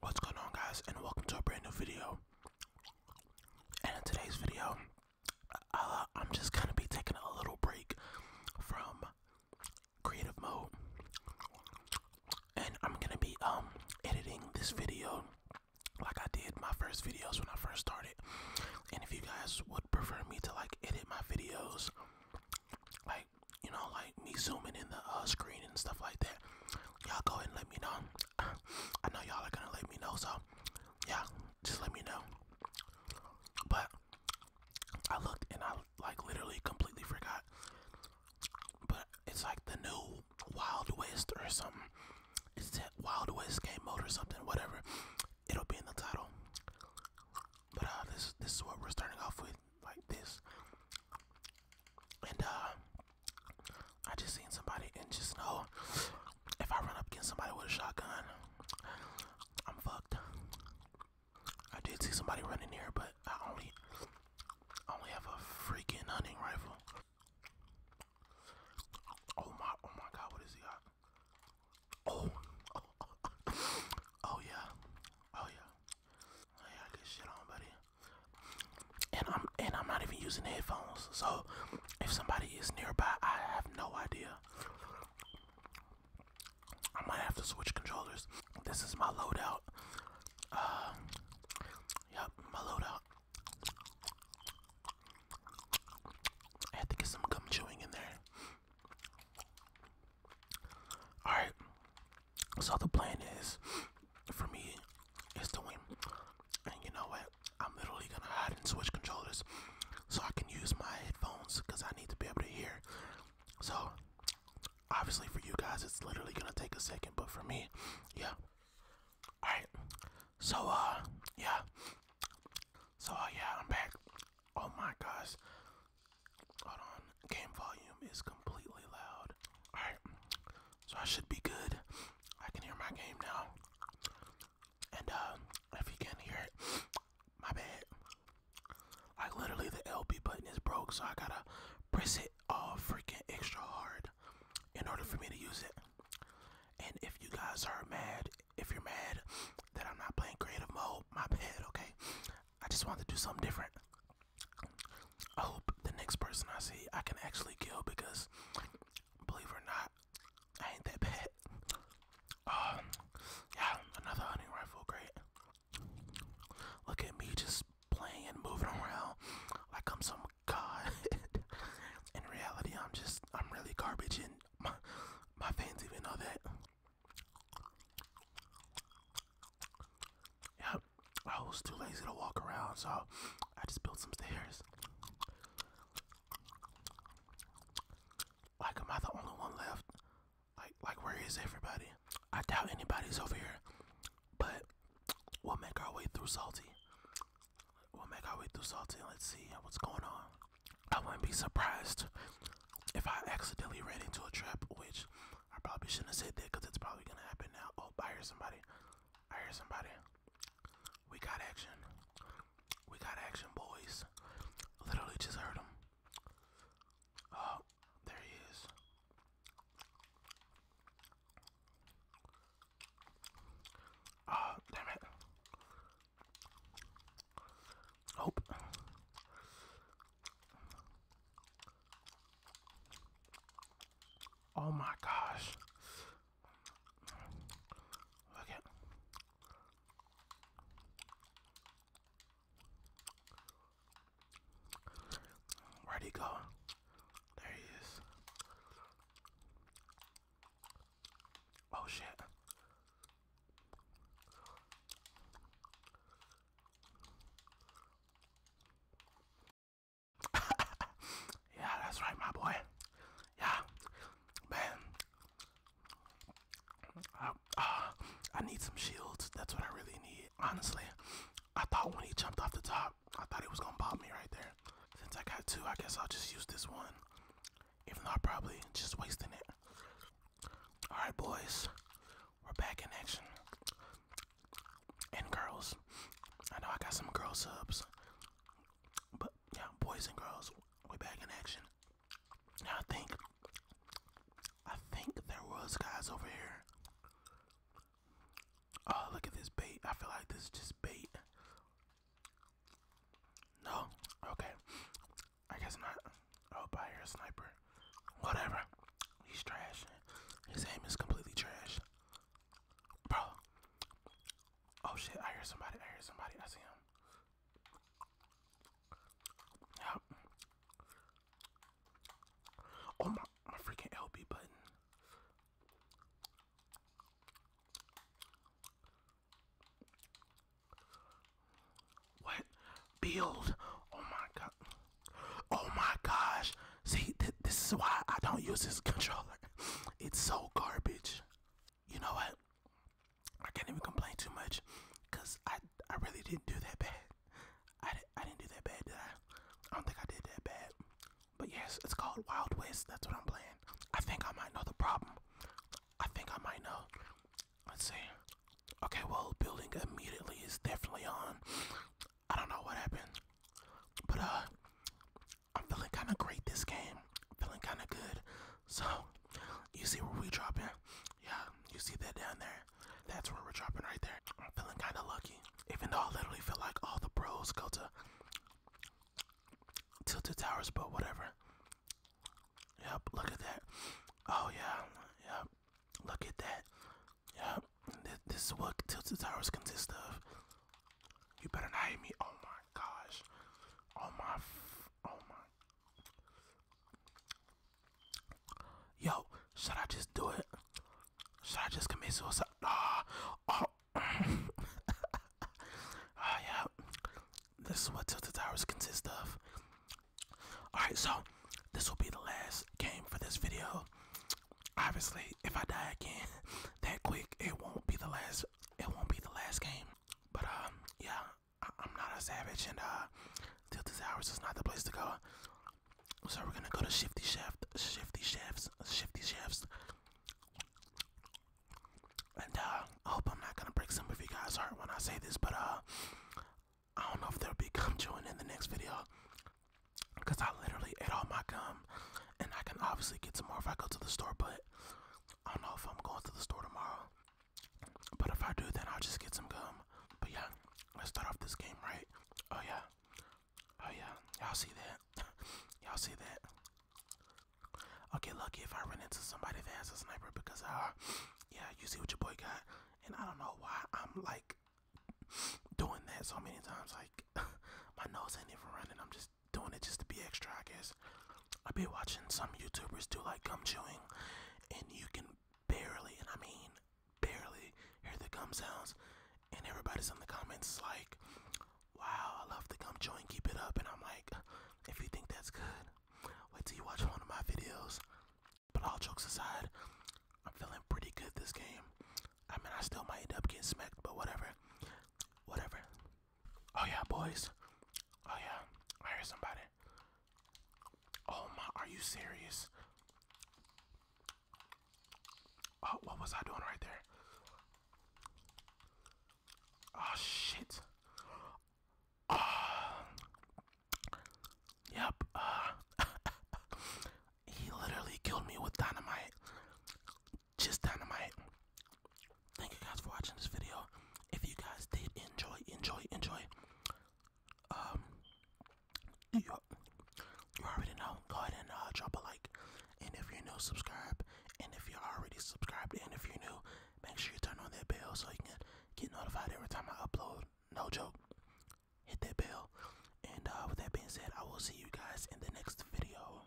What's going on guys and welcome to a brand new video. And in today's video, uh, I'm just gonna be taking a little break from creative mode. And I'm gonna be um, editing this video like I did my first videos when I first started. And if you guys would prefer me to like edit my videos like you know like me zooming in the uh, screen and stuff like that y'all go and let me know i know y'all are gonna let me know so yeah just let me know but i looked and i like literally completely forgot but it's like the new wild west or something it's wild west game mode or something whatever it'll be in the title but uh, this this is what we're starting off with, like this. And uh, I just seen somebody, and just know if I run up against somebody with a shotgun, I'm fucked. I did see somebody running here, but I only I only have a freaking hunting rifle. Oh my! Oh my God! What is he got? Oh. oh, yeah, oh yeah, yeah. Good shit on, buddy. And I'm and I'm not even using headphones, so if somebody is nearby, I have no idea. I might have to switch controllers. This is my loadout. yep, my loadout. I had to get some gum chewing in there. All right. So the plan is for me is to win. And you know what? I'm literally gonna hide and switch controllers so I can use my headphones because I need to be able to hear. So obviously for you guys it's literally gonna take a second, but for me, yeah. Alright. So uh yeah. So uh yeah, I'm back. Oh my gosh. Hold on. Game volume is completely loud. Alright. So I should be good. I can hear my game now. And uh, if you can hear it, my bad. Like literally the LB button is broke, so I gotta press it all freaking extra hard in order for me to use it. And if you guys are mad if you're mad that I'm not playing creative mode, my bad, okay? I just wanted to do something different. I hope the next person I see I can actually kill because, believe it or not, I ain't that bad. Um, yeah, another hunting rifle, great. Look at me just playing and moving around like I'm some god. In reality, I'm just, I'm really garbage and my, fans even know that. Yep, I was too lazy to walk around, so I just built some stairs. Like, am I the only one left? Like, like, where is everybody? I doubt anybody's over here, but we'll make our way through Salty. We'll make our way through Salty. Let's see what's going on. I wouldn't be surprised if I accidentally ran into a trap, which I probably shouldn't have said that because it's probably gonna happen now. Oh, I hear somebody. I hear somebody. We got action. We got action, boys. Literally just heard him. Oh, there he is. Oh, damn it. Nope. Oh my gosh. Look at Where'd he go? There he is. Oh shit. yeah, that's right, my boy. Yeah, man. Uh, I, need some shields. That's what I really need. Honestly, I thought when he jumped off the top, I thought it was gonna pop me right there. Since I got two, I guess I'll just use this one. If not, probably just wasting it. Alright, boys, we're back in action. And girls, I know I got some girl subs, but yeah, boys and girls, we're back in action. Now I think, I think there was guys over here. Oh, look at this bait. I feel like this is just bait. No? Okay. I guess not. Oh, but I hear a sniper. Whatever. He's trash. His aim is completely trash. Bro. Oh shit, I hear somebody. I hear somebody. I see him. Yep. Oh my, my freaking LB button. What? Build. Oh my god. Oh my gosh. See, this is why I don't use this controller. It's so garbage. You know what? I can't even complain too much because I, I really didn't do that bad. I, didn't do that bad, did I? I don't think I did that bad. But yes, it's called Wild West. That's what I'm playing. I think I might know the problem. I think I might know. Let's see. Okay, well, building immediately is definitely on. I don't know what happened. But, uh, I'm feeling kind of great this game. I'm feeling kind of good. So, you see where we dropping. Yeah, you see that down there? That's where we're dropping right there. I'm feeling kind of lucky, even though I literally feel like all the pros go to Tilted Towers, but whatever. Yep, look at that. Oh yeah, yep. Look at that. Yep. Th this is what Tilted Towers consist of. You better not hit me. Oh my gosh. Oh my. oh my. Yo, should I just do it? Should I just commit suicide? Ah, oh, oh. oh yeah. This is what Tilted Towers consist of. Alright, so this will be the last game for this video. Obviously, if I die again that quick, it won't be the last it won't be the last game. But um yeah, I am not a savage, and uh, Tilted Towers is not the place to go. So we're gonna go to Shifty Chef, Shifty Chefs, Shifty Chefs. And uh, I hope I'm not gonna break some of you guys' heart when I say this, but uh, I don't know if there'll be gum chewing in the next video, cause I literally ate all my gum, and I can obviously get some more if I go to the store, but I don't know if I'm going to the store tomorrow. But if I do, then I'll just get some gum. But yeah, let's start off this game right. Oh yeah. Oh yeah. Y'all see that? Y'all see that? I'll get lucky if I run into somebody that has a sniper because uh yeah, you see what your boy got. And I don't know why I'm like doing that so many times. Like my nose ain't even running. I'm just doing it just to be extra, I guess i be watching some YouTubers do like gum chewing, and you can barely, and I mean barely, hear the gum sounds. And everybody's in the comments like, wow, I love the gum chewing, keep it up. And I'm like, if you think that's good, wait till you watch one of my videos. But all jokes aside, I'm feeling pretty good this game. I mean, I still might end up getting smacked, but whatever. Whatever. Oh yeah, boys. Oh yeah, I hear somebody. Oh my, are you serious? Oh, what was I doing right there? Oh shit. Oh. Yep. Uh, he literally killed me with dynamite just dynamite. Thank you guys for watching this video. If you guys did enjoy, enjoy, enjoy, um, you, you already know. Go ahead and uh, drop a like. And if you're new, subscribe. And if you're already subscribed, and if you're new, make sure you turn on that bell so you can get notified every time I upload. No joke. Hit that bell. And uh, with that being said, I will see you guys in the next video.